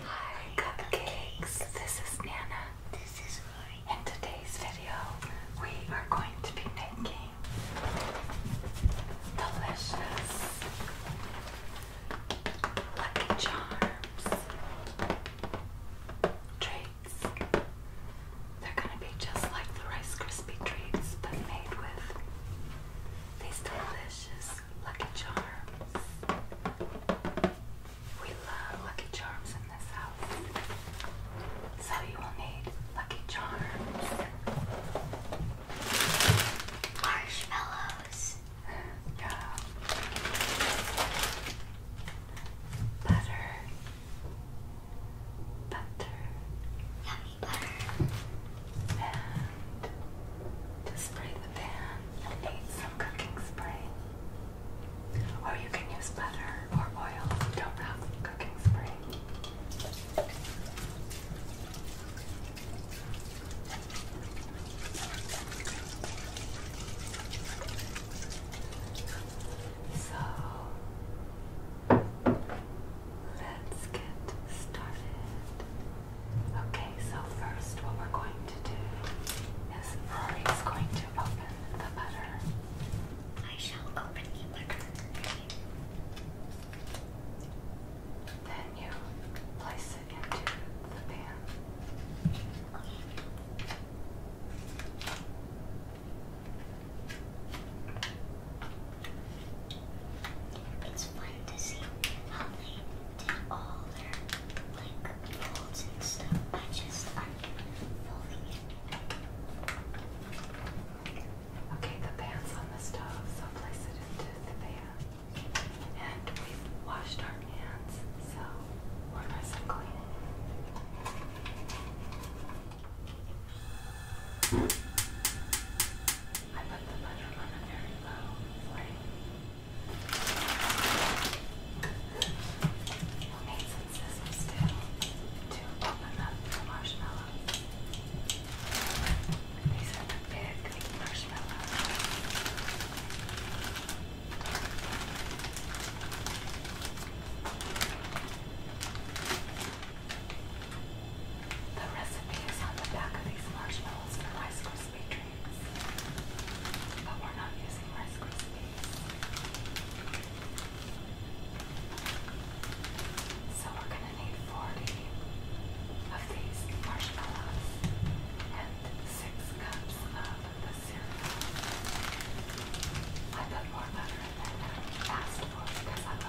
Hi Cupcakes, this is Nana. This is Rory. In today's video, we are going to be making delicious Lucky Charms treats they're gonna be just like the Rice Krispie treats, but made with these delicious Lucky Charms. We love Lucky Charms in this house. So you will need Lucky Charms, marshmallows, butter, butter, yummy butter, and to spray the pan, you need some cooking spray. Or you can use butter or oil don't have cooking spray. So Let's get started. Okay, so first, what we're going to do is Rory is going to open the butter. I shall open the butter. Then you place it into the pan. It's fun to see how they did all their like folds and stuff by just unfolding Okay, the pants on the stove, so place it into the pan. And we've washed our hands, so we're nice and clean. I put the butter on a very low flame. We'll need some scissors still to open up the marshmallows. These are the big marshmallows. The recipe is on the back of these marshmallows for Rice Krispie treats, but we're not using Rice Krispies. So we're going to need 40 of these marshmallows and 6 cups of the cereal. I put more butter than I asked for because I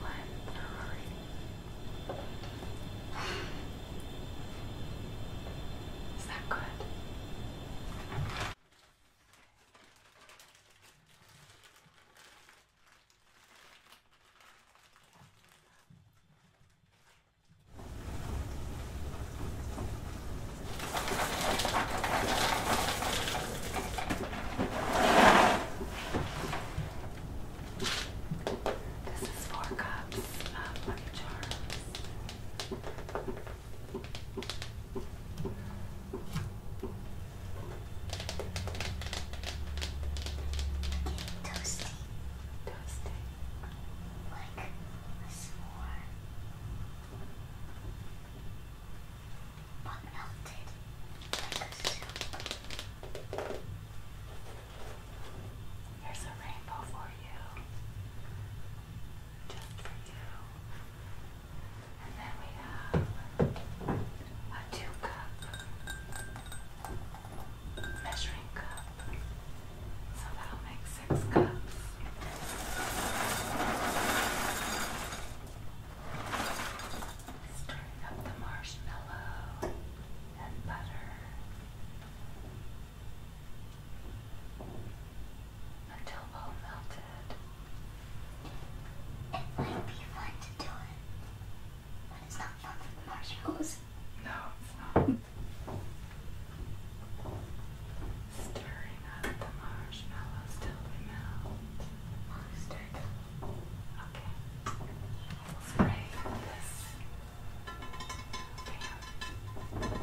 Why in a hurry? Is that good? This is four cups of Lucky Charms. Toasty. Toasty. Like a s'more but melted like a soup. Here's a rainbow for you, just for you. And then we have a two cup measuring cup, so that'll make six cups. Stirring up the marshmallow and butter. Until all melted. It might be fun to do it, but it's not fun with marshmallows. No, it's not. Stirring up the marshmallows till they Okay. Spray this. Okay.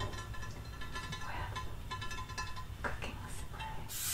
With cooking spray.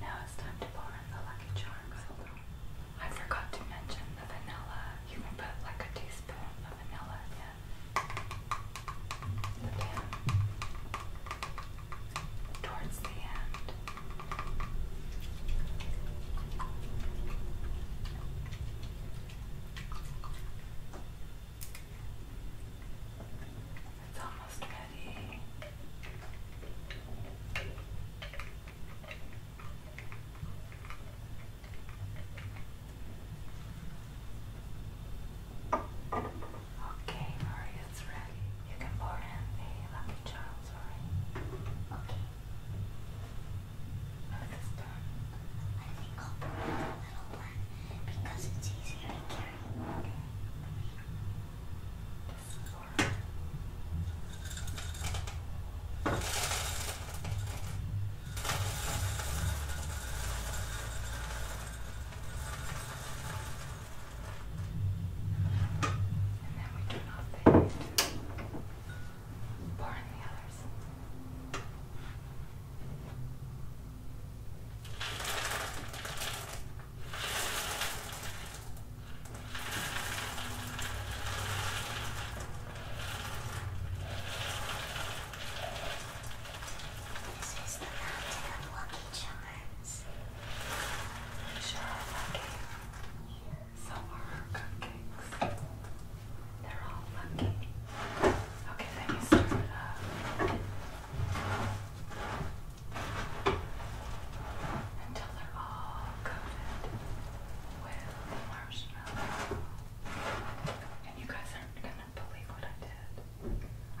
Now it's time to pour in the Lucky Charms. I forgot to mention the vanilla. You can put like a teaspoon of vanilla in the pan towards the end. It's almost ready. Okay, Rory, it's ready. You can pour in the lucky charms, Rory. Okay. This is I think I'll put a little one because it's easier to carry than before. And then we turn off the heat, the others. This is the mountain of lucky charms. Sure lucky. So are her cupcakes. They're all lucky. Okay, let me stir it up until they're all coated with marshmallow. And you guys aren't gonna believe what I did.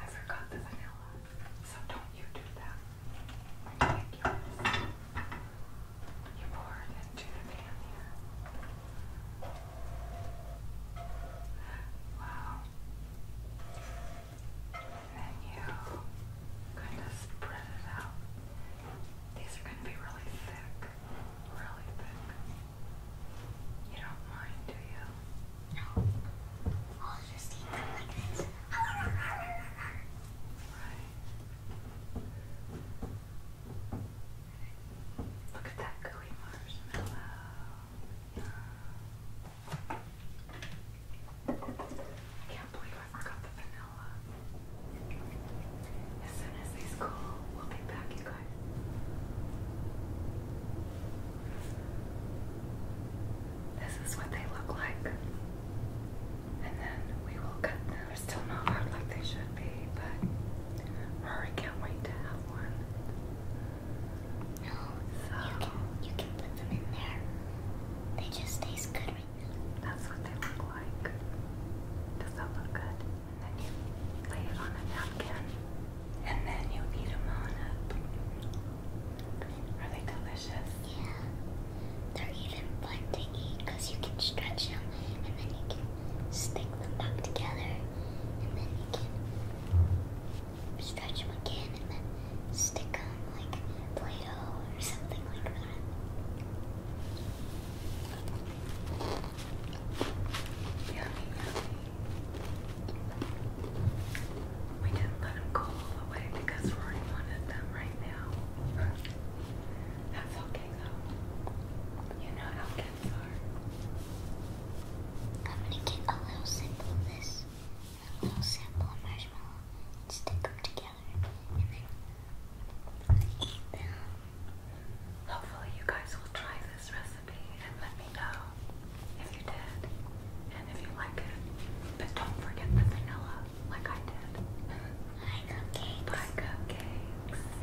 I forgot the vanilla, so don't you do that. You You pour it into the pan here. Wow. And then you kind of spread it out. These are going to be really thick. Really thick. You don't mind, do you? No. I'll just eat Right. Look at that gooey marshmallow. I can't believe I forgot the vanilla. As soon as these cool, we'll be back, you guys. This is what they look like. And then we will cut them. They're still not hard like they should be, but I can't wait to have one. No, you can, you can put them in there. They just taste good right now. That's what they look like. Does that look good? And then you lay it on a napkin. And then you eat them on up. Are they delicious? Yeah. They're even fun to eat because you can stretch them and then you can stick them back together and then you can stretch them again and then stick them like Play-Doh or something like that. Yummy, yummy. We didn't let them go all the way because Rory wanted them right now. That's okay though. You know how I'm gonna get a little sample of this, a little sample of marshmallow, and stick them together, Hopefully, you guys will try this recipe and let me know if you did and if you like it. But don't forget the vanilla, like I did. Buy cupcakes. Buy cupcakes.